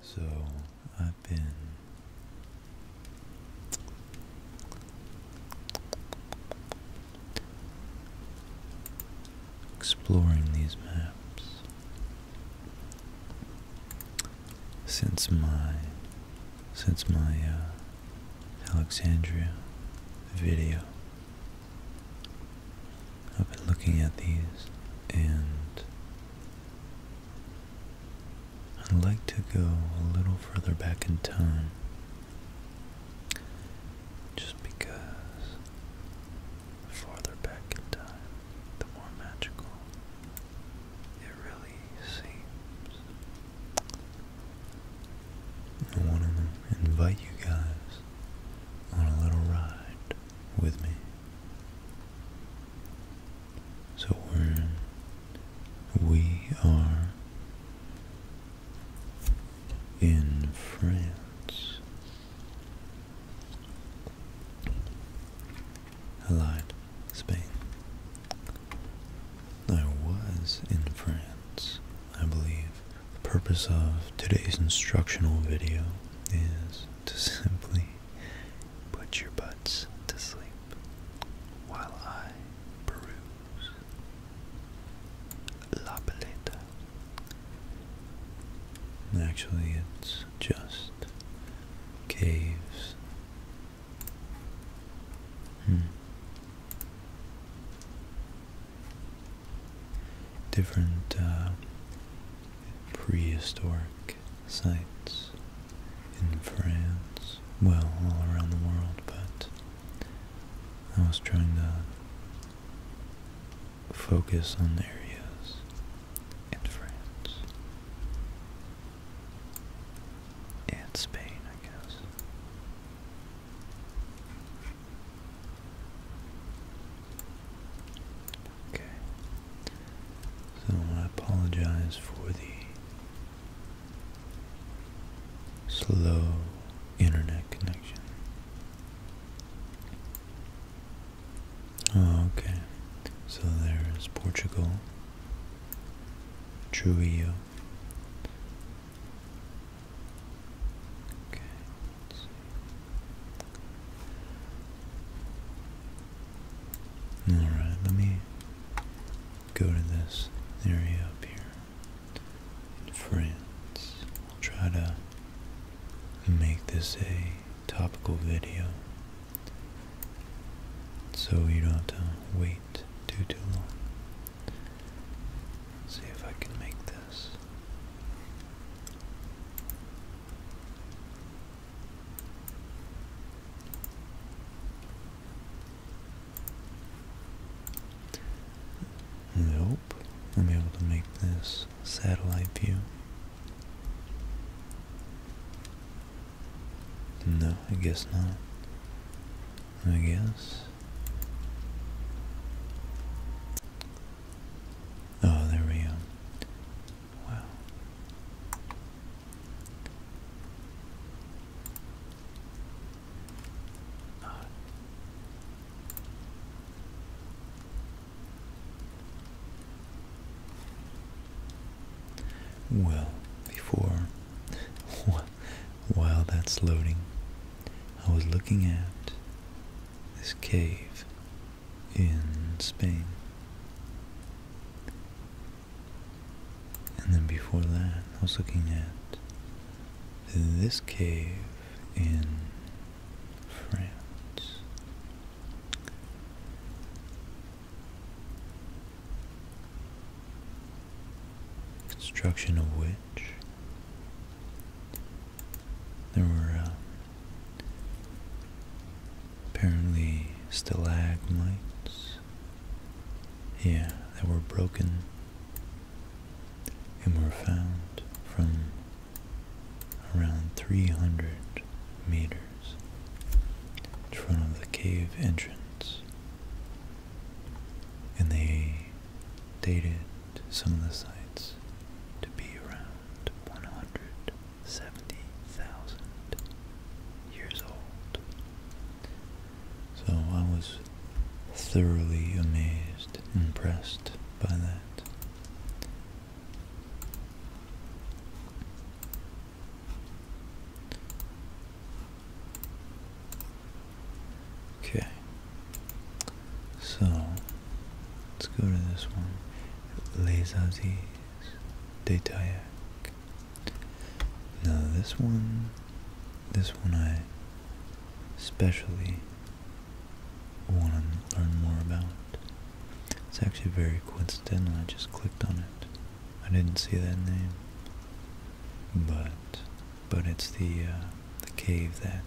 So I've been exploring these maps since my since my uh, Alexandria video. I've been looking at these and I'd like to go a little further back in time just because the farther back in time, the more magical it really seems. I want to invite you guys on a little ride with me. So we're we are in France. I Spain. I was in France. I believe the purpose of today's instructional video is to simply put your butts to sleep while I peruse La Paleta. Actually, it's just caves Hmm. Different uh, prehistoric sites in France, well, all around the world, but I was trying to focus on areas in France and Spain, I guess. Okay. So I apologize for the slow internet connection. Oh, okay. So there's Portugal, Trujillo, Okay, Alright, let me go to this area up here in France. I'll try to make this a topical video so you don't have to wait too too long. See if I can make this. Nope. I'm able to make this satellite view. No, I guess not. I guess. Oh, there we go. Wow. Well, before while that's loading, I was looking at this cave in Spain. And then before that, I was looking at this cave in France construction of which there were uh, apparently stalagmites, yeah, that were broken and were found from around 300 meters in front of the cave entrance and they dated some of the sites to be around 170,000 years old. So I was thoroughly amazed, impressed by that. Okay. So let's go to this one. Les Aziz de Now this one this one I especially want to learn more about. It's actually very coincidental, I just clicked on it. I didn't see that name. But but it's the, uh, the cave that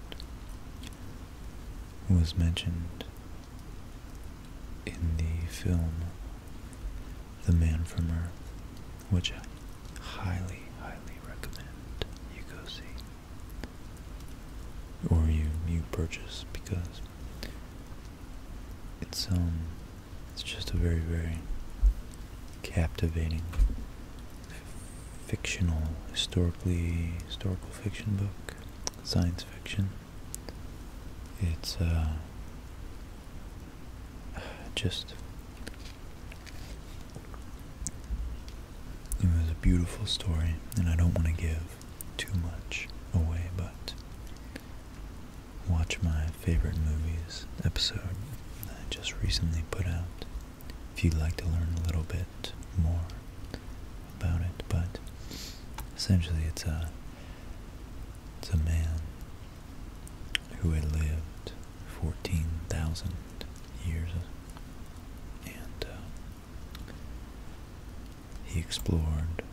was mentioned in the film The Man from Earth, which I highly, highly recommend you go see. Or you, you purchase because it's um it's just a very, very captivating fictional, historically historical fiction book, science fiction. It's uh, just it was a beautiful story, and I don't want to give too much away, but watch my Favorite Movies episode that I just recently put out. If you'd like to learn a little bit more about it, but essentially it's a it's a man who had lived 14,000 years and uh, he explored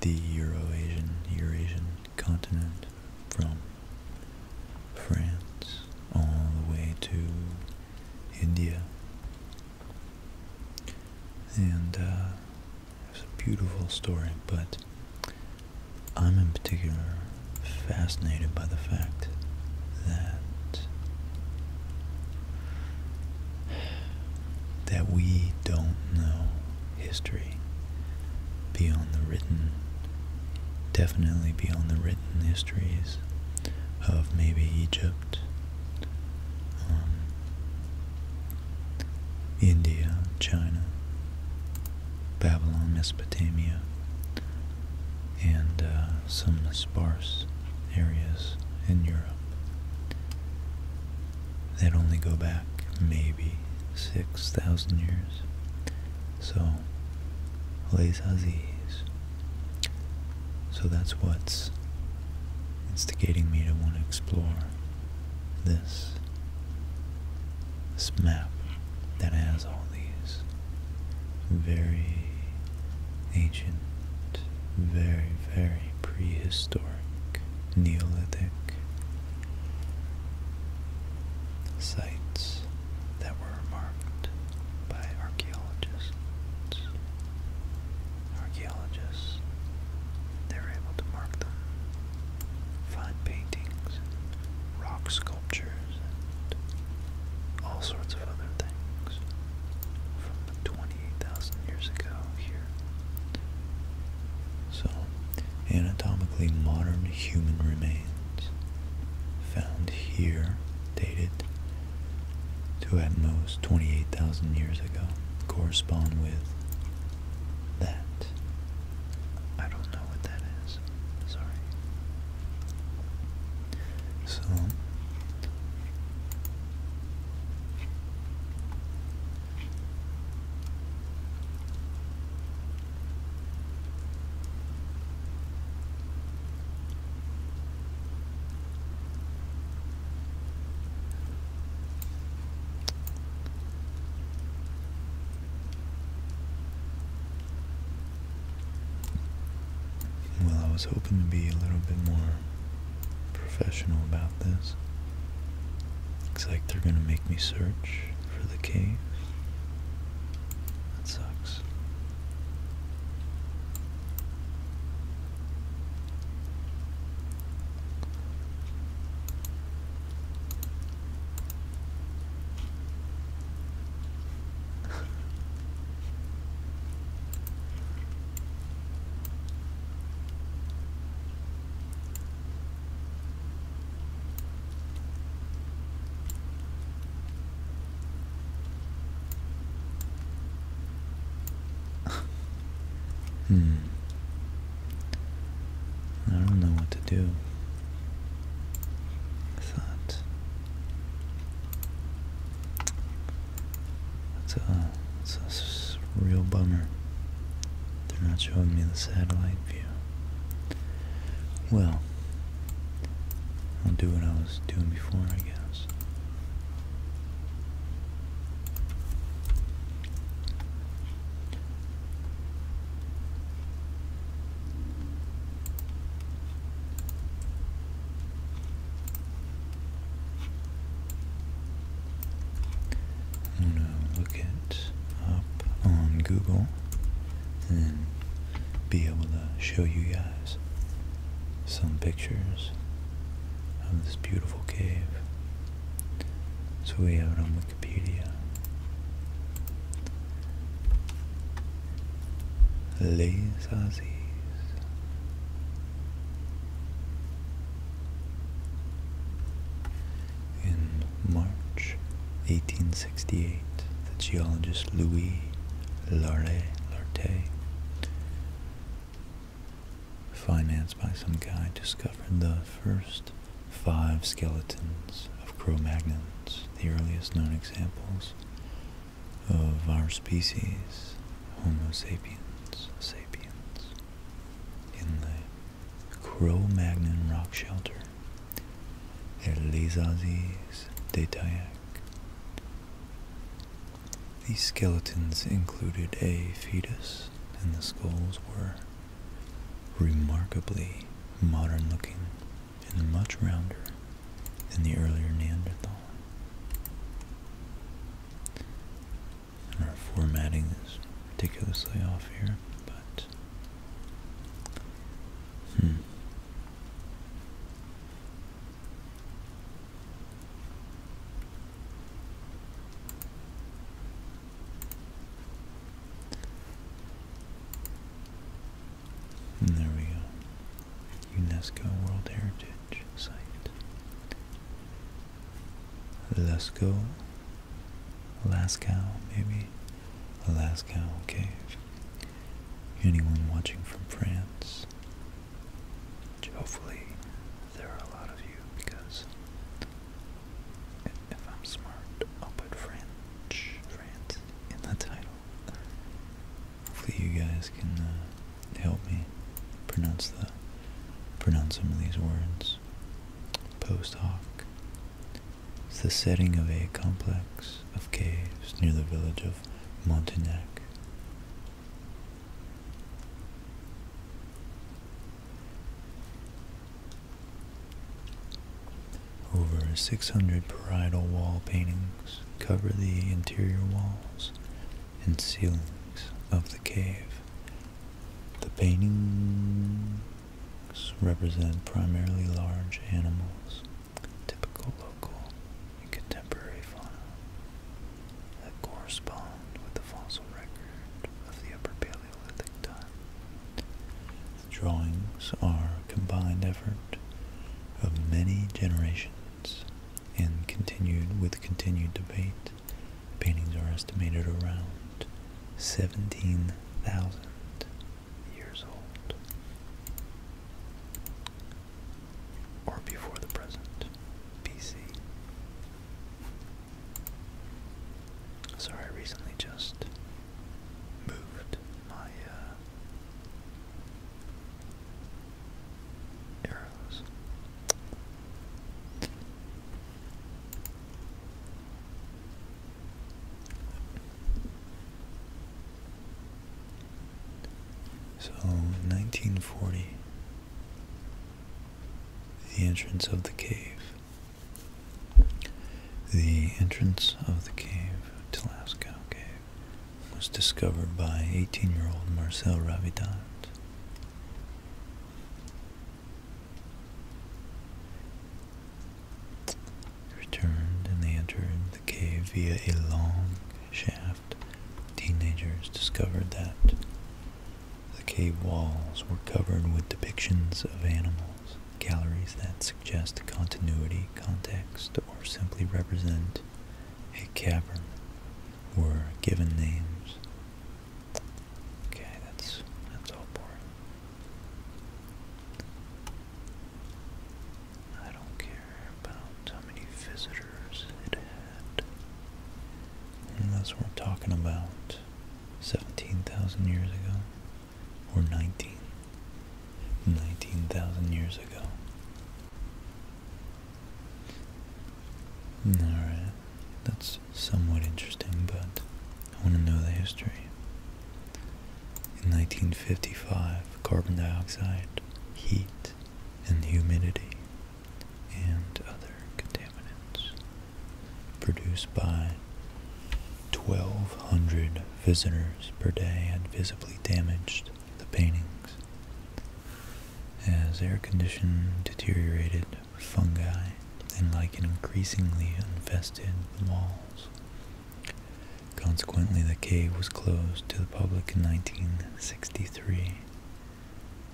the Euro-Asian, Eurasian continent from France all the way to India. And uh, it's a beautiful story, but I'm in particular fascinated by the fact that that we don't know history, beyond the written, definitely beyond the written histories of maybe Egypt, um, India, China, Babylon, Mesopotamia, and uh, some sparse areas in Europe that only go back maybe 6,000 years. So, Les Aziz. So that's what's instigating me to want to explore this, this map that has all these very ancient, very, very prehistoric, Neolithic, sites that were marked by archaeologists. Archaeologists, they were able to mark them, find paintings, rock sculptures, and all sorts of other things from 20,000 years ago here so, anatomically modern human remains found here dated to at most 28,000 years ago correspond with that. I don't know what that is. Sorry. So, well, I was hoping to be a little bit more professional about this. Looks like they're going to make me search for the cave. That sucks hmm. I don't know what to do. thought. That's a, that's a real bummer. They're not showing me the satellite view. Well, I'll do what I was doing before, I guess. I'm going to look it up on Google and be able to show you guys some pictures of this beautiful cave. So we have it on Wikipedia. Les Aziz. In March 1868, the geologist Louis Larrey, financed by some guy, discovered the first five skeletons of Cro-Magnons, the earliest known examples of our species, Homo sapiens sapiens, in the Cro-Magnon Rock Shelter, and Les Aziz de Tayac. These skeletons included a fetus, and the skulls were remarkably modern looking and much rounder than the earlier Neanderthal. our formatting is ridiculously off here, but Hmm. hmm. there we go. UNESCO World Heritage Site. Lascaux Alaska, maybe. Alaska Cave. Anyone watching from France? hopefully there are a lot of you because if I'm smart, I'll put French, France in the title. Hopefully you guys can uh, help me pronounce the pronounce some of these words. Post hoc, it's the setting of a complex of caves near the village of Montignac. Over 600 parietal wall paintings cover the interior walls and ceilings of the cave. The paintings represent primarily large animals, typical local and contemporary fauna that correspond with the fossil record of the Upper Paleolithic time. The drawings are combined effort of many generations and continued with continued debate. Paintings are estimated around 17,000 years old, or before the present, BC. Sorry, I recently just moved my uh, arrows. So, 1940, the entrance of the cave. The entrance of the cave, Tlascow Cave, was discovered by 18-year-old Marcel Ravidant returned and they entered the cave via a long shaft. Teenagers discovered that the cave walls were covered with depictions of animals, galleries that suggest continuity, context, or simply represent a cavern were given names. Okay, that's that's all boring. I don't care about how many visitors it had. Unless we're talking about 17,000 years ago or 19 19,000 years ago. Alright, that's somewhat interesting, but I want to know the history. In 1955, carbon dioxide, heat, and humidity, and other contaminants produced by 1,200 visitors per day had visibly damaged the paintings. As air condition deteriorated fungi, and like an increasingly infested walls. Consequently, the cave was closed to the public in 1963.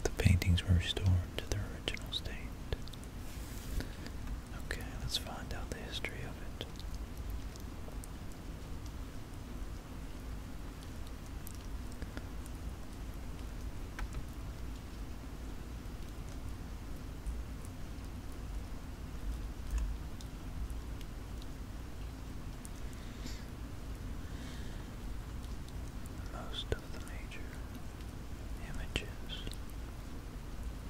The paintings were restored to their original state. Okay, let's find out the history of it. Most of the major images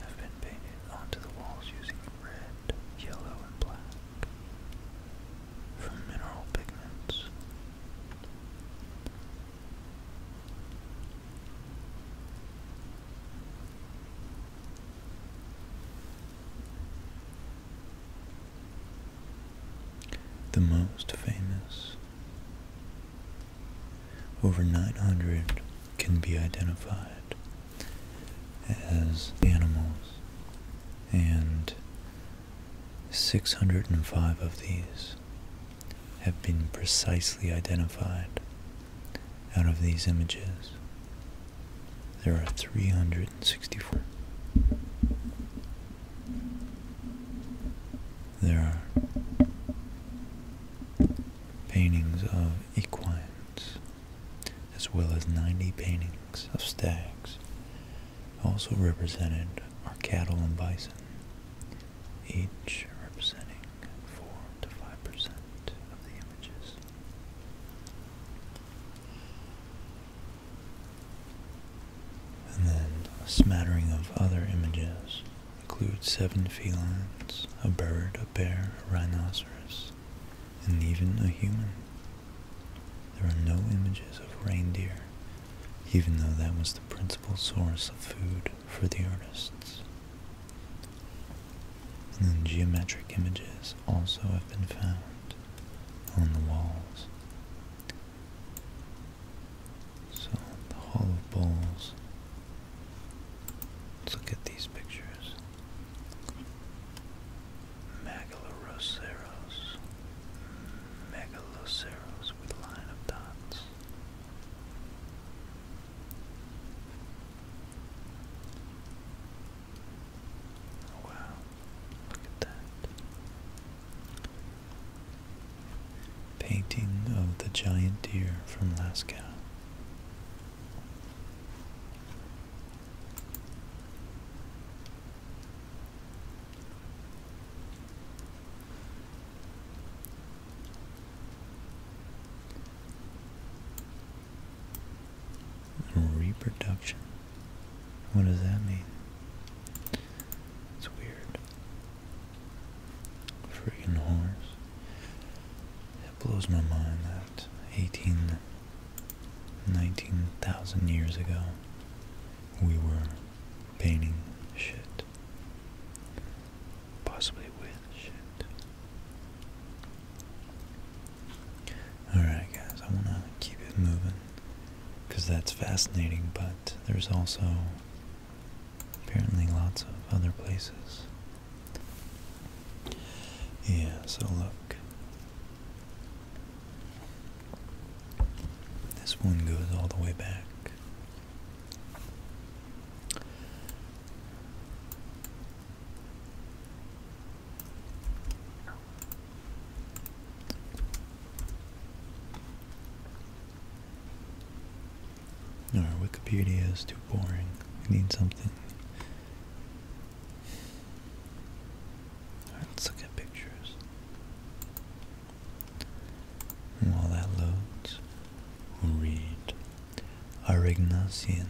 have been painted onto the walls using red, yellow, and black from mineral pigments. The most famous, over 900, can be identified as animals, and 605 of these have been precisely identified. Out of these images, there are 364. There are paintings of equines, as well as 90 paintings of stags. Also represented are cattle and bison, each representing 4 to 5% of the images. And then a smattering of other images includes seven felines, a bird, a bear, a rhinoceros, and even a human. There are no images of reindeer, even though that was the principal source of food for the artists. And geometric images also have been found on the walls. So the Hall of Bowls. Let's look at these pictures. Megaloceros. Megaloceros with line of dots. Oh, wow, look at that. Painting of the giant deer from Lascaux. Reproduction. What does that mean? It's weird. Freaking horse. It blows my mind that 18, 19,000 years ago we were painting shit. Possibly win. Shit. Alright, guys, I want to keep it moving because that's fascinating, but there's also apparently lots of other places. Yeah, so look. This one goes all the way back no, Wikipedia is too boring. We need something. let's look at pictures. while that loads, read Aragnasian.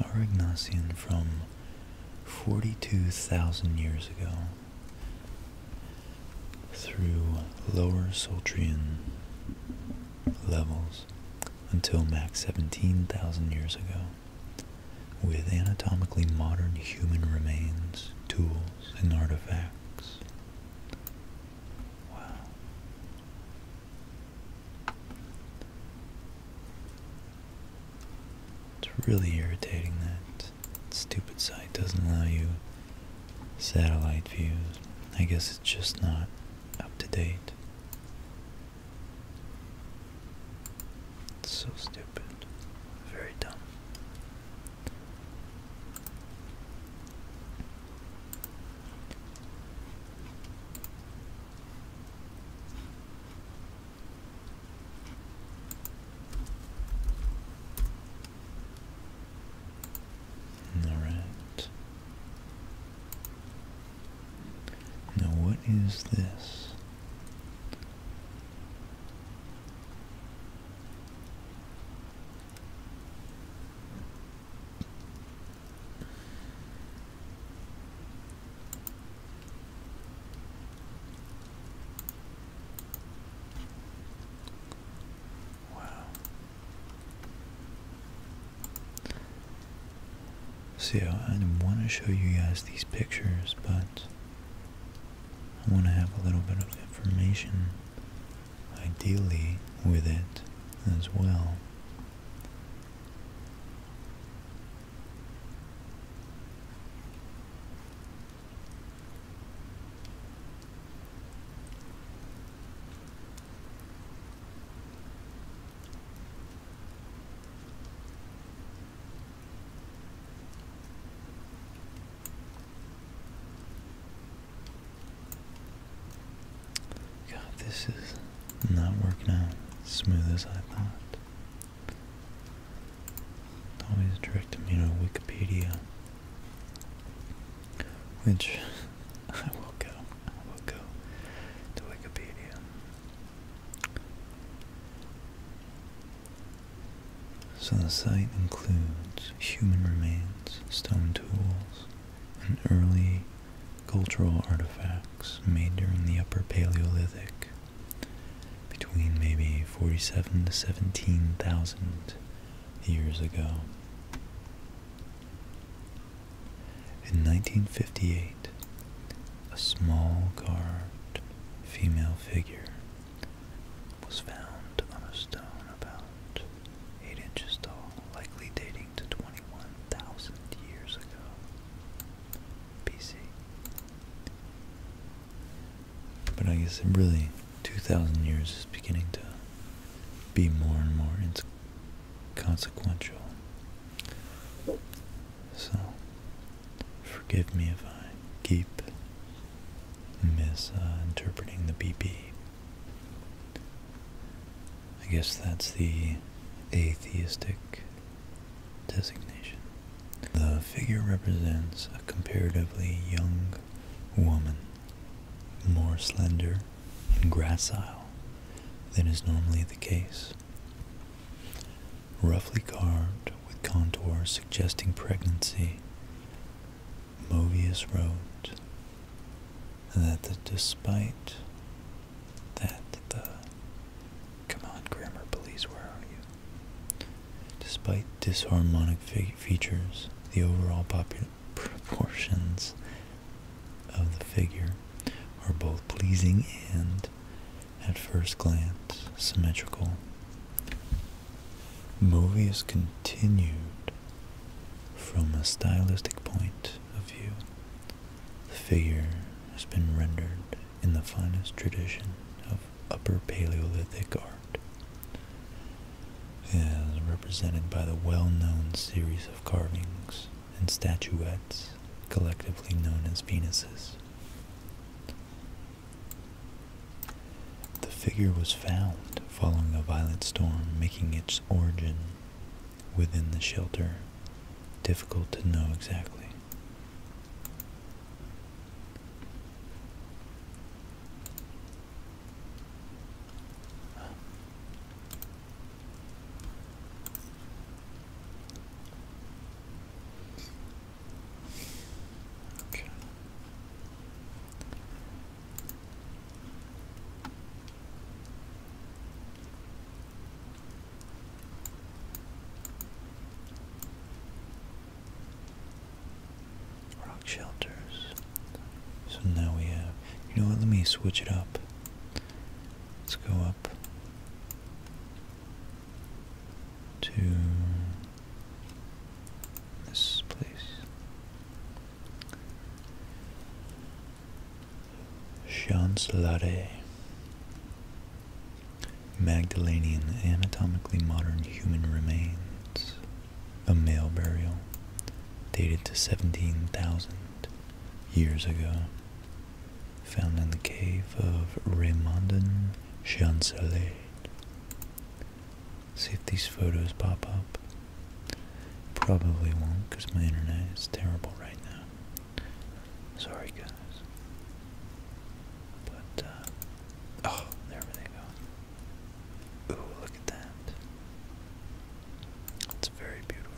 Aragnasian from 42,000 years ago through lower Soltrian levels until max 17,000 years ago with anatomically modern human remains, tools, and artifacts. Wow. It's really irritating that stupid site doesn't allow you satellite views. I guess it's just not up to date. It's so stupid. Very dumb. All right. Now, what is this? Wow. So I want to show you guys these pictures, but I want to have a little bit of information ideally with it as well. God, this is not working out as smooth as I thought. always directed me to Wikipedia. Which I will go. I will go to Wikipedia. So the site includes human remains, stone tools, and early cultural artifacts made during the Upper Paleolithic between maybe 47 to 17,000 years ago. In 1958, a small carved female figure was found on a stone about 8 inches tall, likely dating to 21,000 years ago BC. But I guess it really, 2,000 years is beginning to be more and more inconsequential. So, forgive me if I keep misinterpreting the BP, I guess that's the atheistic designation. The figure represents a comparatively young woman, more slender and gracile than is normally the case. Roughly carved with contours suggesting pregnancy, Movius wrote that the, despite that the, come on grammar police, where are you? Despite disharmonic features, the overall popular proportions of the figure are both pleasing and, at first glance, symmetrical. Movius continued from a stylistic point of view, the figure has been rendered in the finest tradition of Upper Paleolithic art, as represented by the well-known series of carvings and statuettes collectively known as Venuses. The figure was found following a violent storm, making its origin within the shelter difficult to know exactly. Okay. Rock shelters. So now we have, you know what, let me switch it up. Let's go up to this place. Chancelare Magdalenian anatomically modern human remains a male burial dated to 17,000 years ago found in the cave of Raymondon Chancelet See if these photos pop up. Probably won't because my internet is terrible right now. Sorry, guys. But, uh, oh, there they go. Ooh, look at that. It's very beautiful.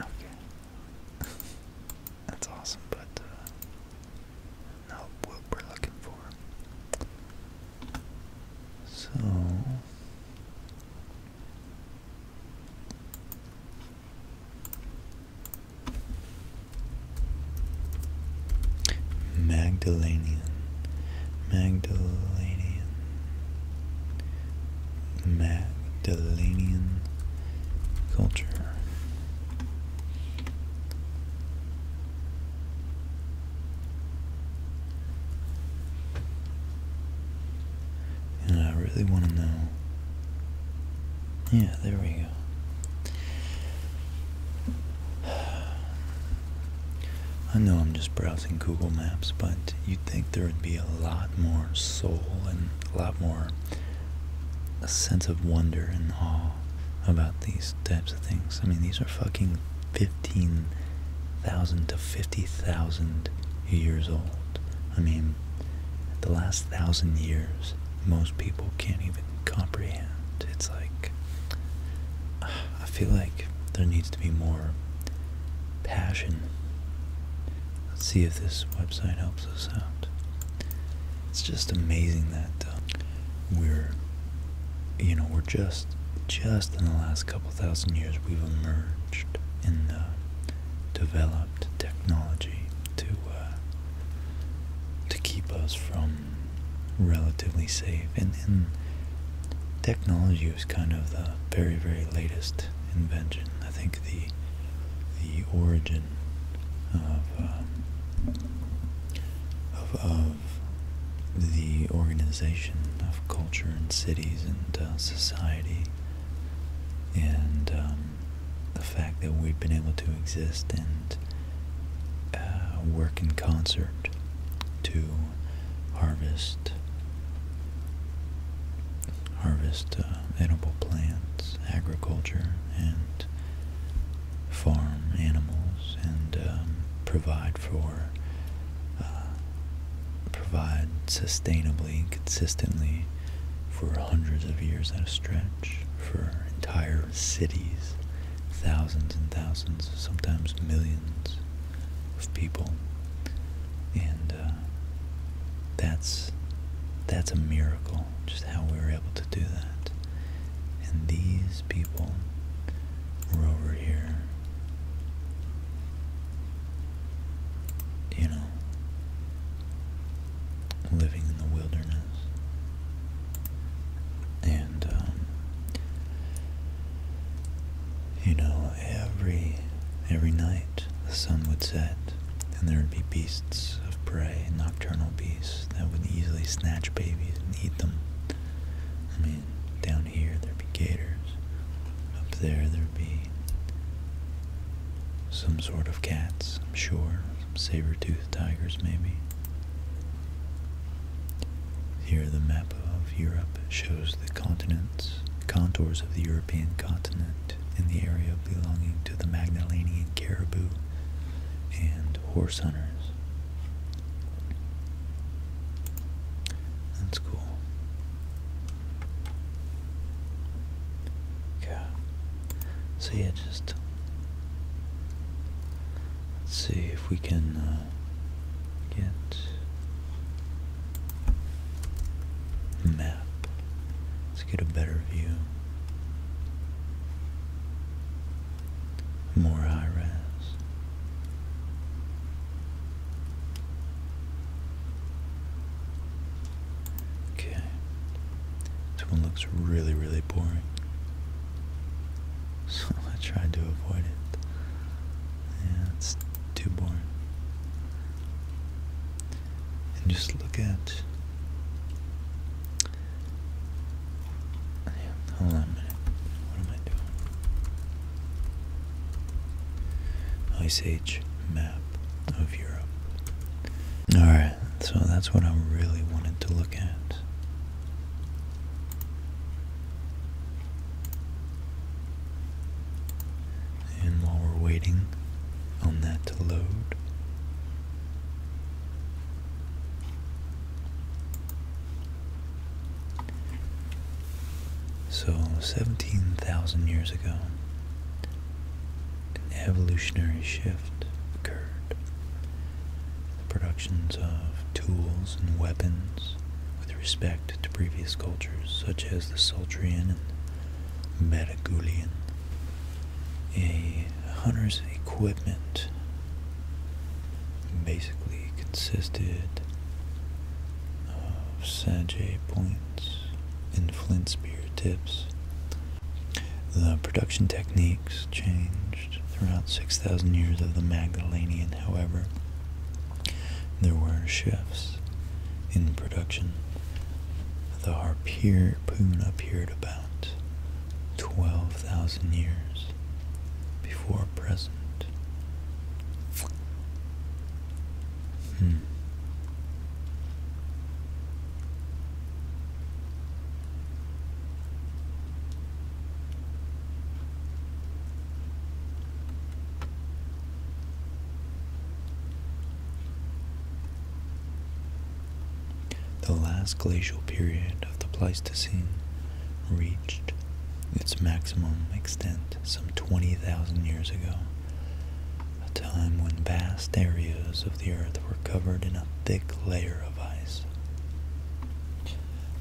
Okay. That's awesome, but, uh, not what we're looking for. So Magdalenian, Magdalenian, Magdalenian culture. And I really want to know. Yeah, there we go. I know I'm just browsing Google Maps, but you'd think there would be a lot more soul and a lot more a sense of wonder and awe about these types of things. I mean, these are fucking 15,000 to 50,000 years old. I mean, the last thousand years, most people can't even comprehend. It's like, I feel like there needs to be more passion. Let's see if this website helps us out. It's just amazing that uh, we're you know, we're just just in the last couple thousand years we've emerged and uh, developed technology to uh, to keep us from relatively safe and, and technology was kind of the very very latest invention I think the the origin of um, of, of the organization of culture and cities and uh, society, and um, the fact that we've been able to exist and uh, work in concert to harvest harvest uh, edible plants, agriculture, and farm animals and um, provide for uh, provide sustainably consistently for hundreds of years at a stretch for entire cities thousands and thousands sometimes millions of people and uh, that's that's a miracle just how we were able to do that and these people were over here. You know, living in the wilderness. And, um, you know, every, every night the sun would set, and there would be beasts of prey, nocturnal beasts, that would easily snatch babies and eat them. I mean, down here there'd be gators. Up there there'd be some sort of cats, I'm sure. saber-toothed tigers, maybe. Here the map of Europe shows the continents, contours of the European continent and the area belonging to the Magdalenian caribou and horse hunters. That's cool. Okay. So yeah, just let's see if we can uh, get map. Let's get a better view more high Okay, this one looks really, really boring. So I tried to avoid it. Yeah, it's too boring. And just look at Hold Ice Age map of Europe. Alright, so that's what I am really wanted to look at. And while we're waiting on that to load, so, 17,000 years ago, an evolutionary shift occurred. The productions of tools and weapons with respect to previous cultures, such as the Soltrian and Metagulian. A hunter's equipment basically consisted of Sajay points and flint spear tips. The production techniques changed throughout 6,000 years of the Magdalenian, however, there were shifts in production. The harpoon appeared about 12,000 years before present. Hmm. The last glacial period of the Pleistocene reached its maximum extent some 20,000 years ago, a time when vast areas of the Earth were covered in a thick layer of ice.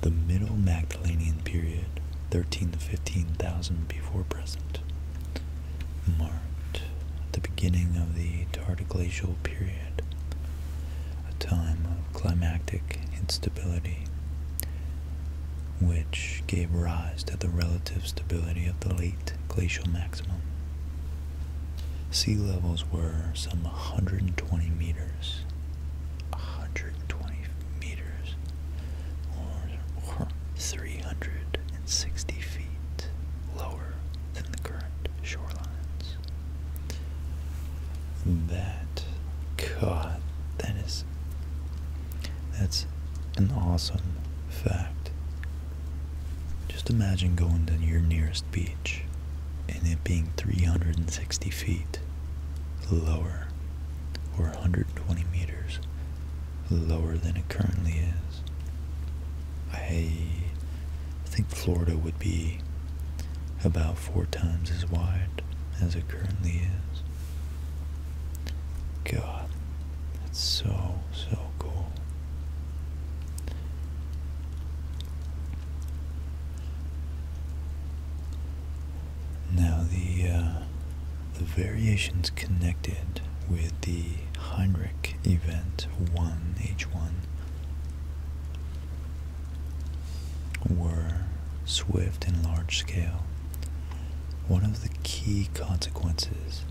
The Middle Magdalenian period, 13 to 15,000 before present, marked the beginning of the Tardiglacial period a time of climatic instability, which gave rise to the relative stability of the late glacial maximum. Sea levels were some 120 meters, 120 meters, or 360 feet lower than the current shorelines that god that is that's an awesome fact just imagine going to your nearest beach and it being 360 feet lower or 120 meters lower than it currently is i think florida would be about four times as wide as it currently is. God, that's so, so cool. Now the uh, the variations connected with the Heinrich event 1H1 were swift and large scale, one of the key consequences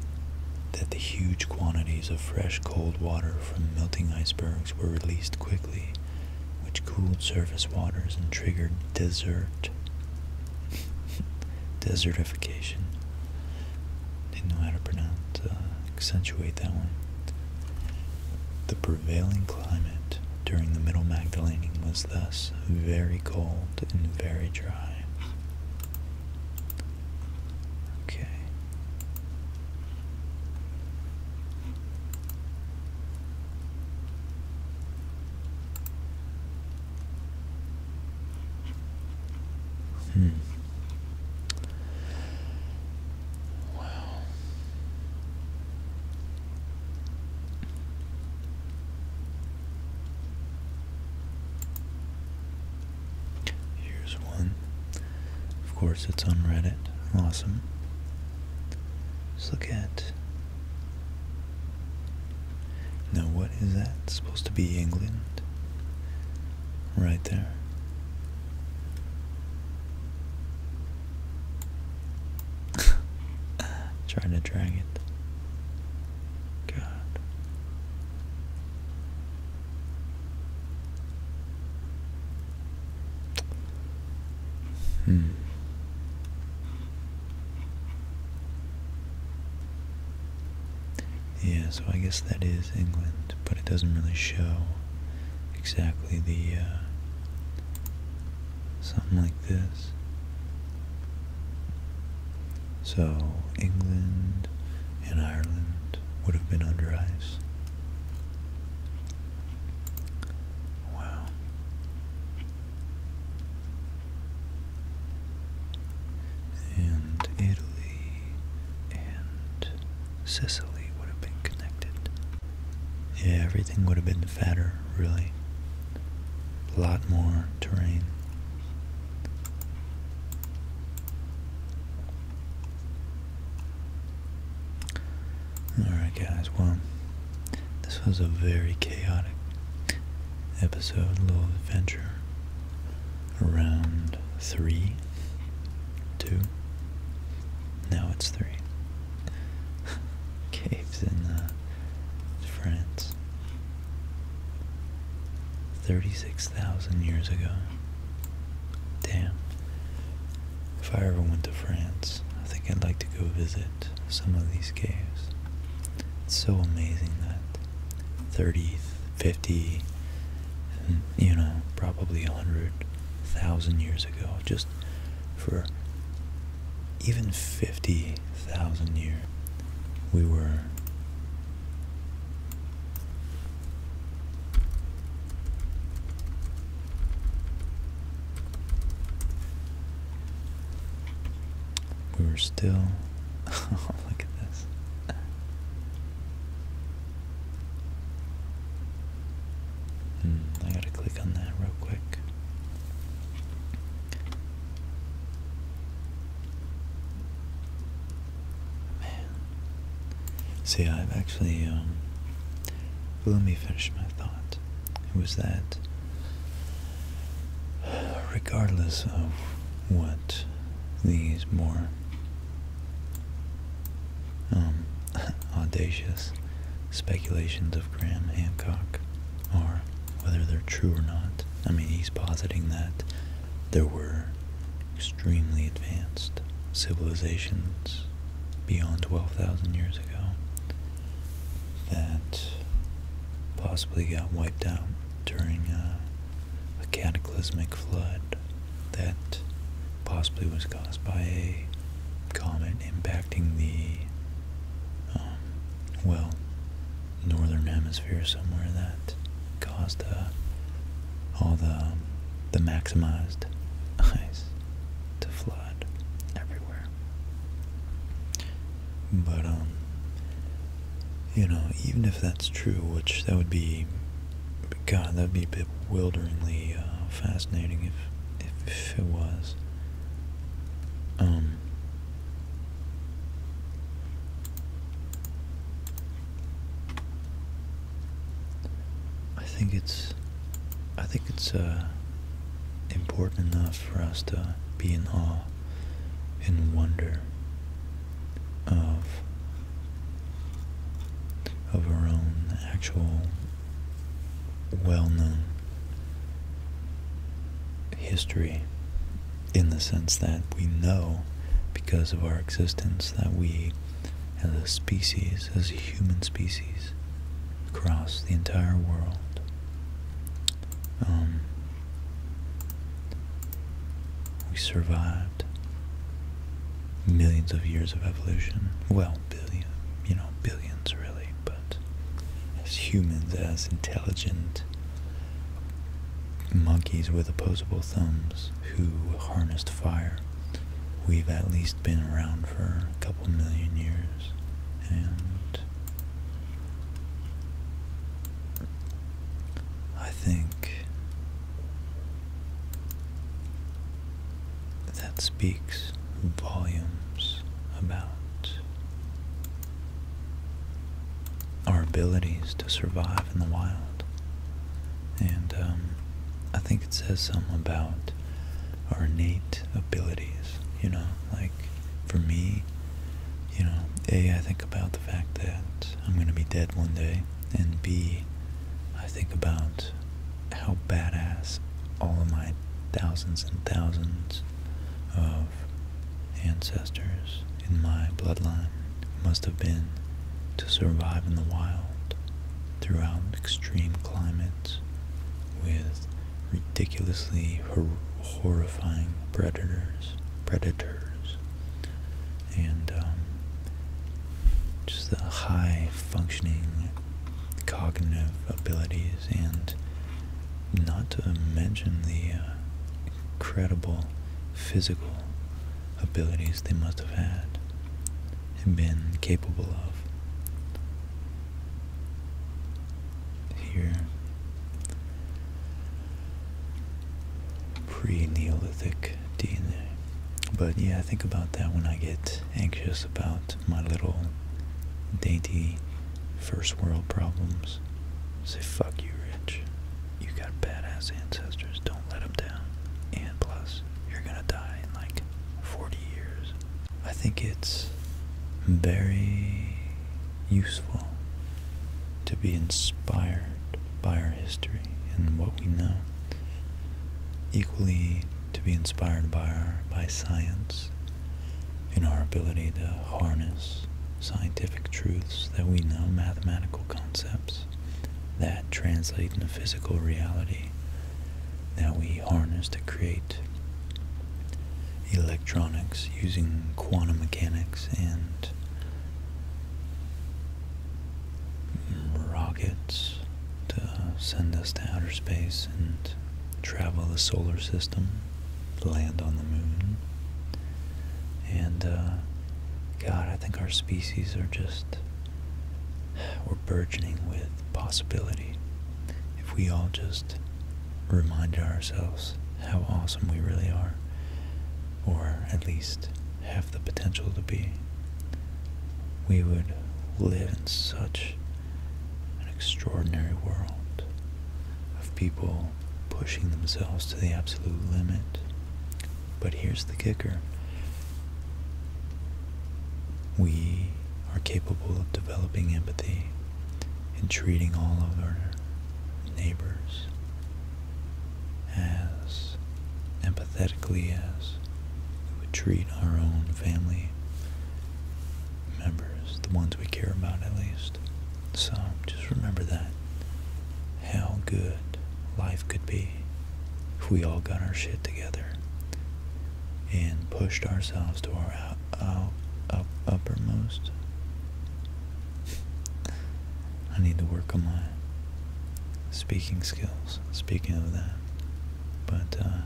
that the huge quantities of fresh cold water from melting icebergs were released quickly, which cooled surface waters and triggered desert desertification. Didn't know how to pronounce uh, accentuate that one. The prevailing climate during the Middle Magdalenian was thus very cold and very dry. Okay. Hmm. Wow. Here's one. Of course, it's on Reddit. Awesome. Let's look at. Now, what is that? supposed to be England. Right there. Trying to drag it. God. Hmm. Yeah, so I guess that is England, but it doesn't really show exactly the uh, Something like this. So England and Ireland would have been under ice. Wow. And Italy and Sicily would have been connected. Yeah, everything would have been fatter, really. A lot more terrain. Alright guys, well, this was a very chaotic episode, little adventure around three, two, now it's three. caves in uh, France 36,000 years ago. Damn. If I ever went to France, I think I'd like to go visit some of these caves. It's so amazing that 30, 50, you know, probably 100,000 years ago, just for even 50,000 years, we were we were still oh, look at this Hmm, I gotta click on that real quick. Man. See, I've actually, um, let me finish my thought. It was that, regardless of what these more um, audacious speculations of Graham Hancock are, whether they're true or not. I mean, he's positing that there were extremely advanced civilizations beyond 12,000 years ago that possibly got wiped out during uh, a cataclysmic flood that possibly was caused by a comet impacting the, um, well, northern hemisphere somewhere that caused uh, all the, um, the maximized ice to flood everywhere. But, um, you know, even if that's true, which that would be God, that'd be a bewilderingly uh, fascinating if, if, it was. Um, I think it's, I think it's uh, important enough for us to be in awe and wonder of of our own actual well known history in the sense that we know because of our existence that we as a species, as a human species, across the entire world, um, we survived millions of years of evolution. Well, billion, you know, billions really, but as humans, as intelligent monkeys with opposable thumbs who harnessed fire, we've at least been around for a couple million years, and I think that speaks volumes about our abilities to survive in the wild. And um, I think it says something about our innate abilities, you know, like for me, you know, A, I think about the fact that I'm going to be dead one day, and B, I think about how badass all of my thousands and thousands of ancestors in my bloodline must have been to survive in the wild throughout extreme climates with ridiculously horrifying predators predators and um, just the high functioning cognitive abilities and not to mention the uh, incredible physical abilities they must have had and been capable of. Here, pre Neolithic DNA. But yeah, think about that when I get anxious about my little dainty first world problems. Say, fuck you, Rich. You got badass ancestors. Don't let them down. And plus, you're gonna die in like 40 years. I think it's very useful to be inspired by our history and what we know. Equally to be inspired by our, by science in our ability to harness scientific truths that we know, mathematical concepts that translate into physical reality that we harness to create electronics using quantum mechanics and rockets to send us to outer space and travel the solar system, land on the moon. And, uh, God, I think our species are just, we're burgeoning with possibility. If we all just remind ourselves how awesome we really are, or at least have the potential to be, we would live in such an extraordinary world of people pushing themselves to the absolute limit. But here's the kicker we are capable of developing empathy and treating all of our neighbors as empathetically as we would treat our own family members, the ones we care about at least. So just remember that. How good life could be if we all got our shit together and pushed ourselves to our up, uppermost. I need to work on my speaking skills. Speaking of that, but uh,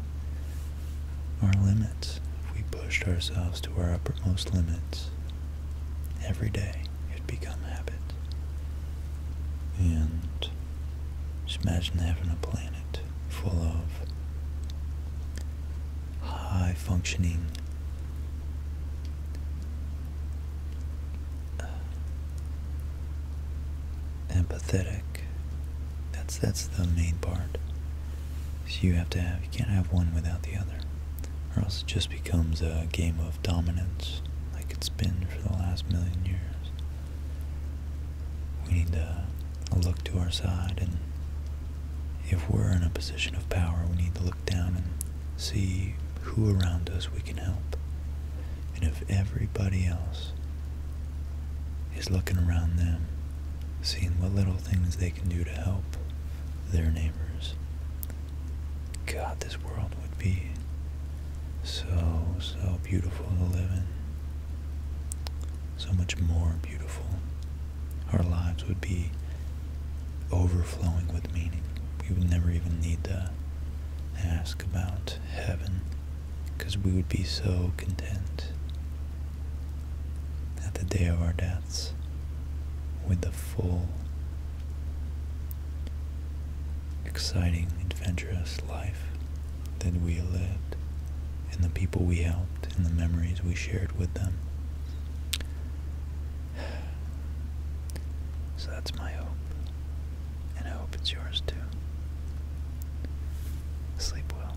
our limits, if we pushed ourselves to our uppermost limits every day, it'd become habit. And just imagine having a planet full of high functioning uh, empathetic. That's that's the main part. So you have to have you can't have one without the other, or else it just becomes a game of dominance, like it's been for the last million years. We need to look to our side, and if we're in a position of power, we need to look down and see who around us we can help. And if everybody else is looking around them, seeing what little things they can do to help their neighbors. God, this world would be so, so beautiful to live in. So much more beautiful. Our lives would be overflowing with meaning. We would never even need to ask about heaven because we would be so content at the day of our deaths with the full, exciting, adventurous life that we lived and the people we helped and the memories we shared with them. So that's my hope and I hope it's yours too. Sleep well.